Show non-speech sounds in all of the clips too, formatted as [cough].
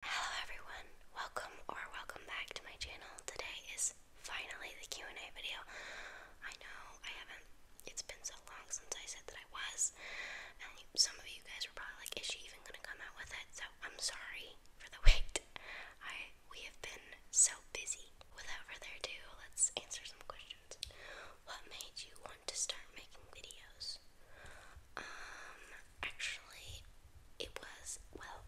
Hello everyone, welcome or welcome back to my channel. Today is finally the Q&A video. I know I haven't, it's been so long since I said that I was, and some of you guys were probably like, is she even going to come out with it? So I'm sorry for the [laughs] wait. We have been so busy. Without further ado, let's answer some questions. What made you want to start making videos? Um, actually, it was, well,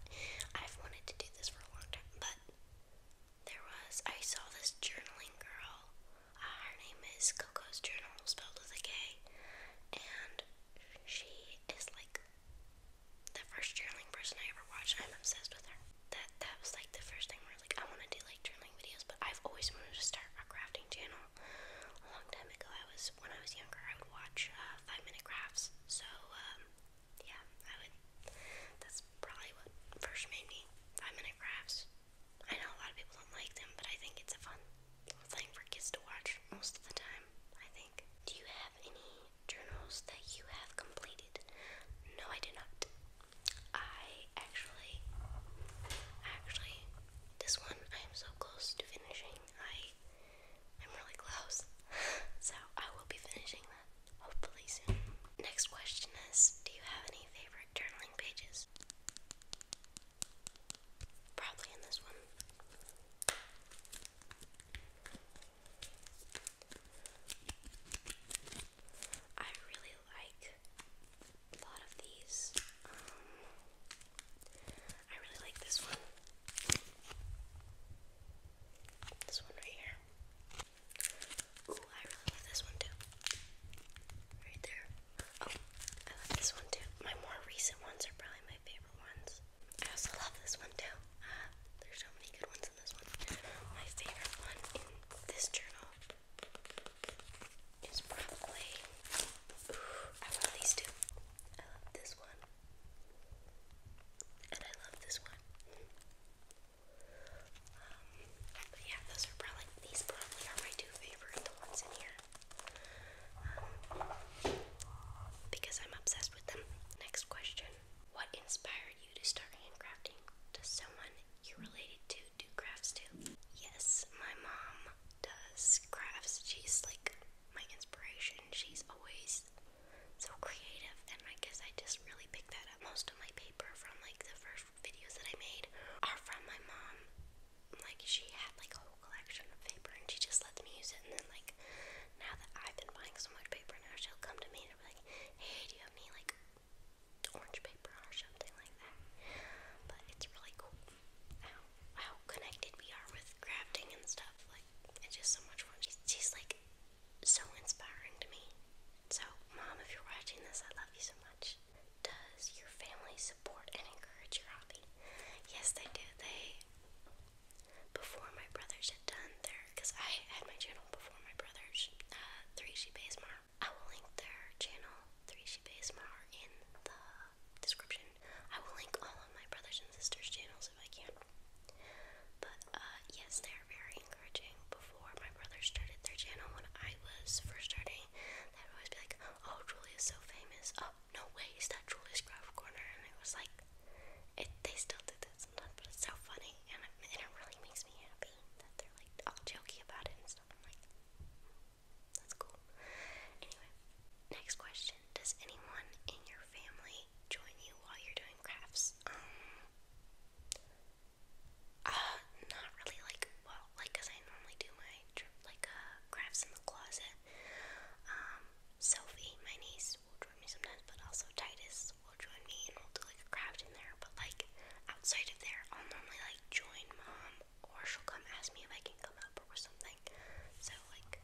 I've wanted to do this for a long time, but there was, I saw this journaling girl. Uh, her name is Coco's Journal, spelled with a K, and she is like the first journaling person I ever watched. I'm obsessed with her. That that was like the first thing where like I want to like journaling videos, but I've always wanted to start a crafting channel a long time ago, I was when I was younger, I would watch uh, five minute crafts. So um, yeah, I would. That's probably what first made me five minute crafts. I know a lot of people don't like them, but I think it's a fun thing for kids to watch most of the time. I think. Do you have any journals that you have completed? No, I do not. I actually, actually, this one I am so close to finishing. I I'm really close. [laughs] so I will be finishing that hopefully soon. Next question is do you have any favorite journaling pages? Probably in this one. I really like a lot of these. Um, I really like this one. This one right here. Ooh, I really love this one too. Right there. Oh, I love this one too. My more recent ones are probably my favorite ones. I also love this one too. Uh, there's so many good ones in this one. My favorite one in this journal is probably. I love these two. I love this one. And I love this one. Um, but yeah, those are probably, these probably are my two favorite, the ones in here. Um, because I'm obsessed with them. Next question. What inspired you to start handcrafting? Does someone you're related to do crafts too? Yes, my mom does crafts. She's like my inspiration. She's always so creative, and I guess I just really picked that up. Most of my paper from like the first videos that I made are from my mom. Like she had like a whole collection of paper, and she just lets me use it. And then like now that I've been buying so much paper, now she'll come to me and be like, "Hey, do you have any like orange paper or something like that?" But it's really cool how, how connected we are with crafting and stuff. Like, it's just so much fun. She's, like so inspiring to me. So, Mom, if you're watching this, I love you so much. Does your family support and encourage your hobby? Yes, they do. They, before my brothers had done their, because I had my channel before my brothers, uh, 3G Base Mom. I will link their channel three she based more are in the description. I will link all of my brothers and sisters' channels if I can. But uh, yes, they are very encouraging. Before my brothers started their channel, when I was first starting, they would always be like, "Oh, Julia's so famous. Oh, no way, is that Julia's craft corner?" And it was like, it, they still do that sometimes, but it's so funny, and and it really makes me happy that they're like all jokey about it and stuff. I'm like, that's cool. Anyway, next question. Does anyone in your family join you while you're doing crafts? Um uh, not really like well, like cuz I normally do my like uh, crafts in the closet. Um Sophie, my niece, will join me sometimes, but also Titus will join me and we'll do like a craft in there. But like outside of there, I'll normally like join mom or she'll come ask me if I can come up or something. So like,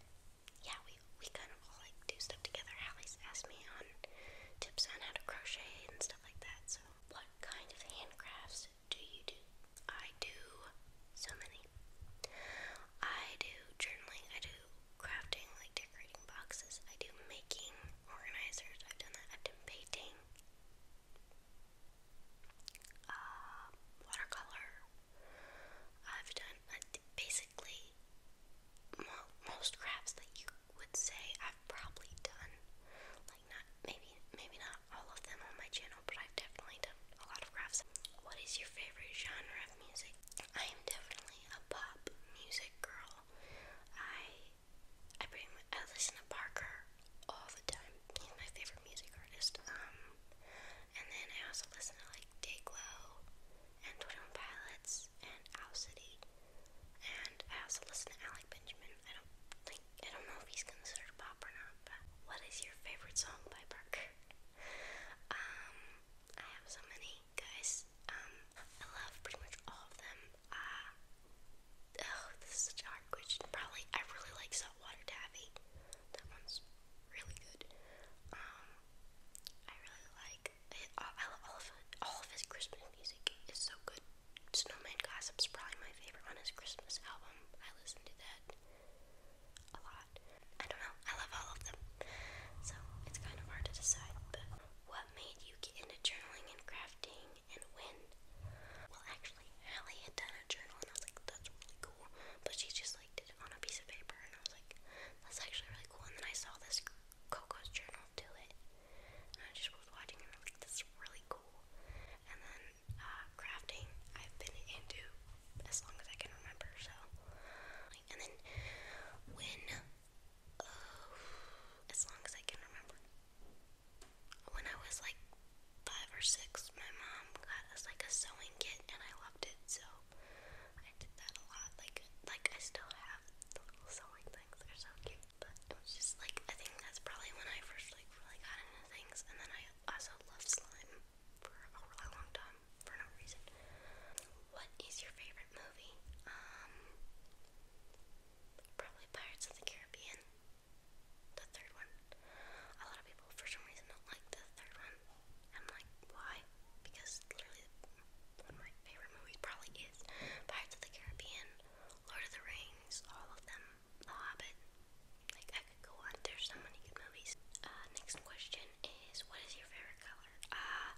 yeah, we we kind of all like do stuff together. Hallie's asked me on tips on how to crochet and stuff like that. So what kind of handcrafts do you do? I do so many. I do journaling. I do crafting, like decorating boxes. I do making organizers. I've done that. I've done painting. Um, watercolor. I've done basically most crafts that you would say I've probably done. Like not maybe maybe not all of them on my channel, but I've definitely done a lot of crafts. What is your favorite genre of music? I am definitely a pop music girl. I I pretty much listen to Parker all the time he's my favorite music artist. Um, and then I also listen to like Dayglow and Twenty One Pilots and Owl City, and I also listen to Alec Benjamin. I don't think I don't know if he's considered pop or not. But what is your favorite song by Parker? Um, I have so many guys. Um, I love pretty much all of them. Uh, Oh, this is such a hard question. Probably, I really like saltwater taffy. That one's really good. Um, I really like I love all of all of his Christmas music is so good. Snowman Gossip's probably my favorite on his Christmas album. I listen to that a lot. I don't know. I love all of them, so it's kind of hard to decide. But what made you get into journaling and crafting? and when, well, actually, Hallie had done a journal, and I was like, that's really cool. But she just like did it on a piece of paper, and I was like, that's actually really cool. And then I saw this Coco's journal do it, and I just was watching, and I was like, this is really cool. And then uh, crafting, I've been into as long as I can remember. So, and then when. Uh, as long as I can remember when I was like five or six, my mom got us like a sewing kit, and I loved it, so I did that a lot. Like, like I still have little sewing things; they're so cute. But it was just like I think that's probably when I first like really got into things, and then I also loved slime for a really long time for no reason. What is your favorite movie? Um, probably Pirates of the Caribbean the third one. A lot of people, for some reason, don't like the third one. I'm like, why? Because literally, one of my favorite movies probably is Pirates of the Caribbean, Lord of the Rings, all of them, The Hobbit. Like, I could go on. There's so many good movies. Uh, next question is, what is your favorite color? Uh,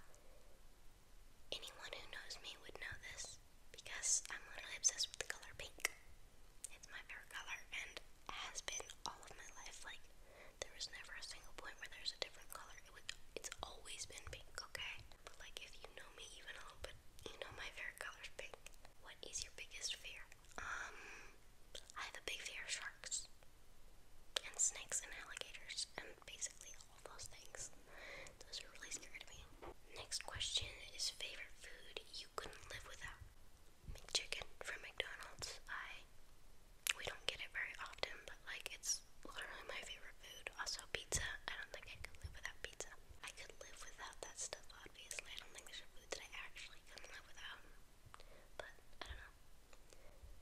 anyone who knows me would know this because I'm literally obsessed with the color pink. It's my favorite color and has been all of my life. Like, there was never a single point where there's a different color. It would, it's always been pink, okay? But, like, if you know me even a little bit, you know my favorite color is pink. What is your biggest fear? Um, I have a big fear of sharks and snakes and alligators and basically all those things. Those are really scared me. Next question is favorite food you couldn't live without. McChicken from McDonald's. I we don't get it very often, but like it's literally my favorite food. Also pizza. I don't think I could live without pizza. I could live without that stuff obviously. I don't think there's food that I actually couldn't live without. But I don't know.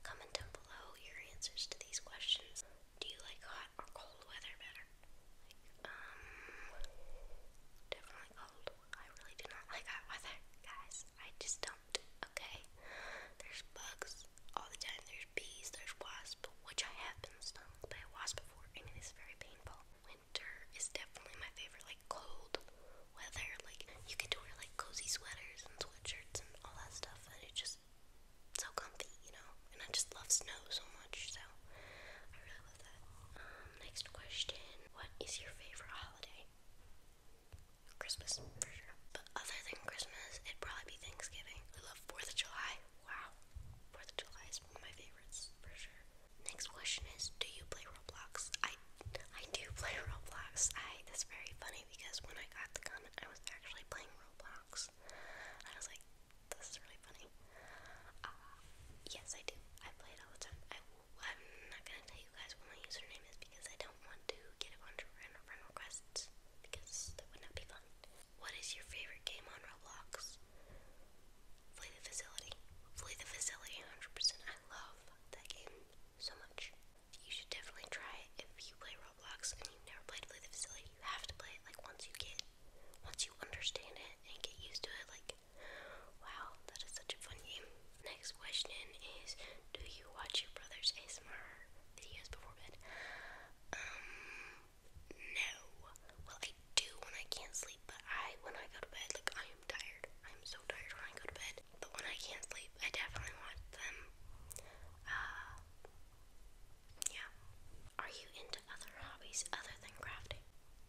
Comment down below your answers to these questions. Do you like hot or cold weather better? Um, definitely cold. I really do not like hot weather, guys. I just don't. Okay, there's bugs all the time. There's bees. There's wasps, which I have been stung by a wasp before, and it is very painful. Winter is definitely my favorite. Like cold weather, like you can to wear like cozy sweaters and sweatshirts and all that stuff, and it just so comfy, you know. And I just love snow so much, so I really love that. Um, next question: What is your favorite holiday? Christmas for sure. But other than Christmas, it'd probably be Thanksgiving. I love Fourth of July. Wow, Fourth of July is one of my favorites for sure. Next question is: Do you play Roblox? I I do play [laughs] Roblox. I that's very funny because when I got the comment, I was actually playing Roblox. I was like, this is really funny. Uh, yes, I do. I play it all the time. I, am not gonna tell you guys what my username is because I don't want to get a bunch friend requests because that would not be fun. What is your favorite game on Roblox? Flee the Facility. Flee the Facility, 100%. I love that game so much. You should definitely try it if you play Roblox and you've never played Flee the Facility. You have to play it like once you get once you understand it and get used to it, like, wow, that is such a fun game. Next question is, do you watch your brother's ASMR videos before bed? Um, no. Well, I do when I can't sleep, but I, when I go to bed, like, I am tired. I'm so tired when I go to bed. But when I can't sleep, I definitely watch them. Uh, yeah. Are you into other hobbies other than crafting?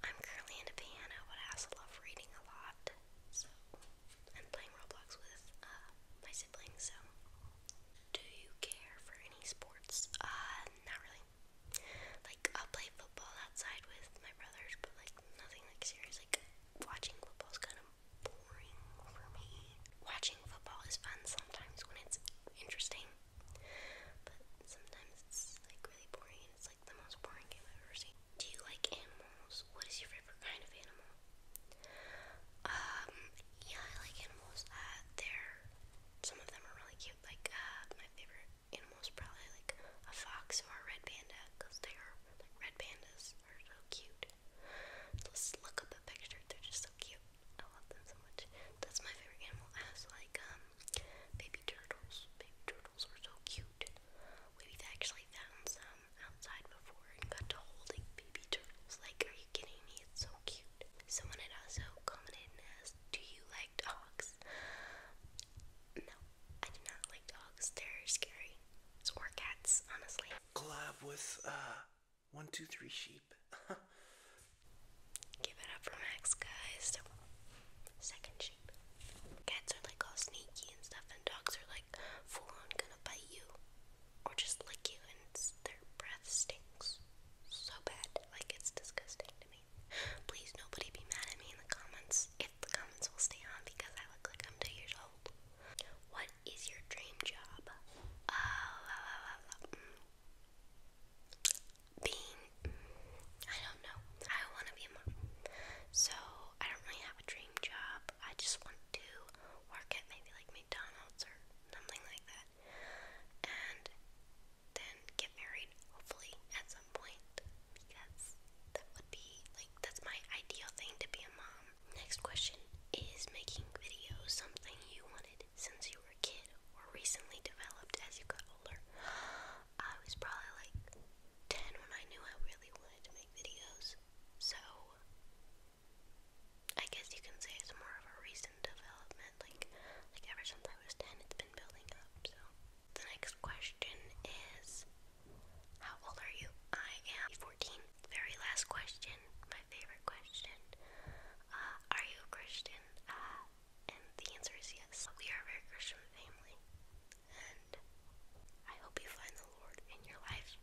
I'm currently into piano, but I also love reading a lot. So, and playing Roblox with uh, my siblings. So, do you care for any sports? Uh, not really. Like, I'll play football outside with my brothers, but like nothing like serious. Like, watching football's kind of boring for me. Watching football is fun sometimes when it's interesting, but sometimes it's like really boring and it's like the most boring game I've ever seen. Do you like animals? What is your favorite kind of animal? Um, yeah, I like animals. Uh, they're, some of them are really cute. Like, uh, my favorite animal is probably like a fox or a red panda because they are, like, red pandas are so cute. Let's look up a picture, they're just so cute. I love them so much. That's my favorite animal. As like um baby turtles. Baby turtles are so cute. we actually found some outside before and got to holding baby turtles. Like, are you kidding me? It's so cute. Someone had also commented and asked, "Do you like dogs?" No, I do not like dogs. They're scary. Or cats, honestly. Collab with uh, one, two, three sheep. [laughs] Give it up for Max, guys. Second sheep. Cats are like all sneaky and stuff, and dogs are like full on gonna bite you or just lick you, and their breath stinks so bad. Like, it's disgusting to me. Please, nobody be mad at me in the comments if the comments will stay on because I look like I'm two years old. What is your dream job? Uh, being, I don't know, I want to be a mom. So, I don't really have a dream job. I just want to work at maybe like McDonald's or something like that. And then get married, hopefully, at some point. Because that would be like, that's my ideal thing to be a mom. Next question Is making videos something you wanted since you were a kid or recently developed as you got older? I was probably like 10 when I knew I really wanted to make videos, so I guess you can say it's more of a recent development. Like, like ever since I was 10, it's been building up, so. The next question is How old are you? I am 14 very last question, my favorite question. Uh, are you a Christian? Uh, and the answer is yes. We are a very Christian family. And I hope you find the Lord in your life.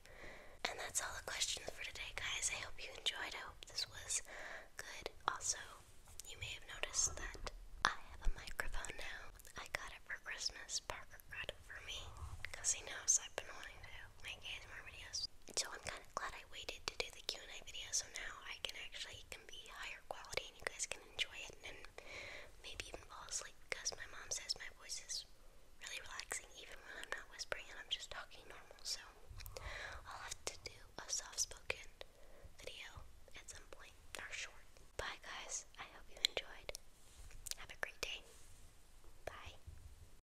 And that's all the questions for today, guys. I hope you enjoyed. I hope this was good. Also, you may have noticed that I have a microphone now. I got it for Christmas. Parker got it for me because he knows I've been wanting to when I more videos. So I'm kind of glad I waited to do the Q&A video, so now I can actually can be higher quality and you guys can enjoy it and maybe even fall asleep because my mom says my voice is really relaxing even when I'm not whispering I'm just talking normal. So I'll have to do a soft-spoken video at some point or short. Bye guys. I hope you enjoyed. Have a great day. Bye.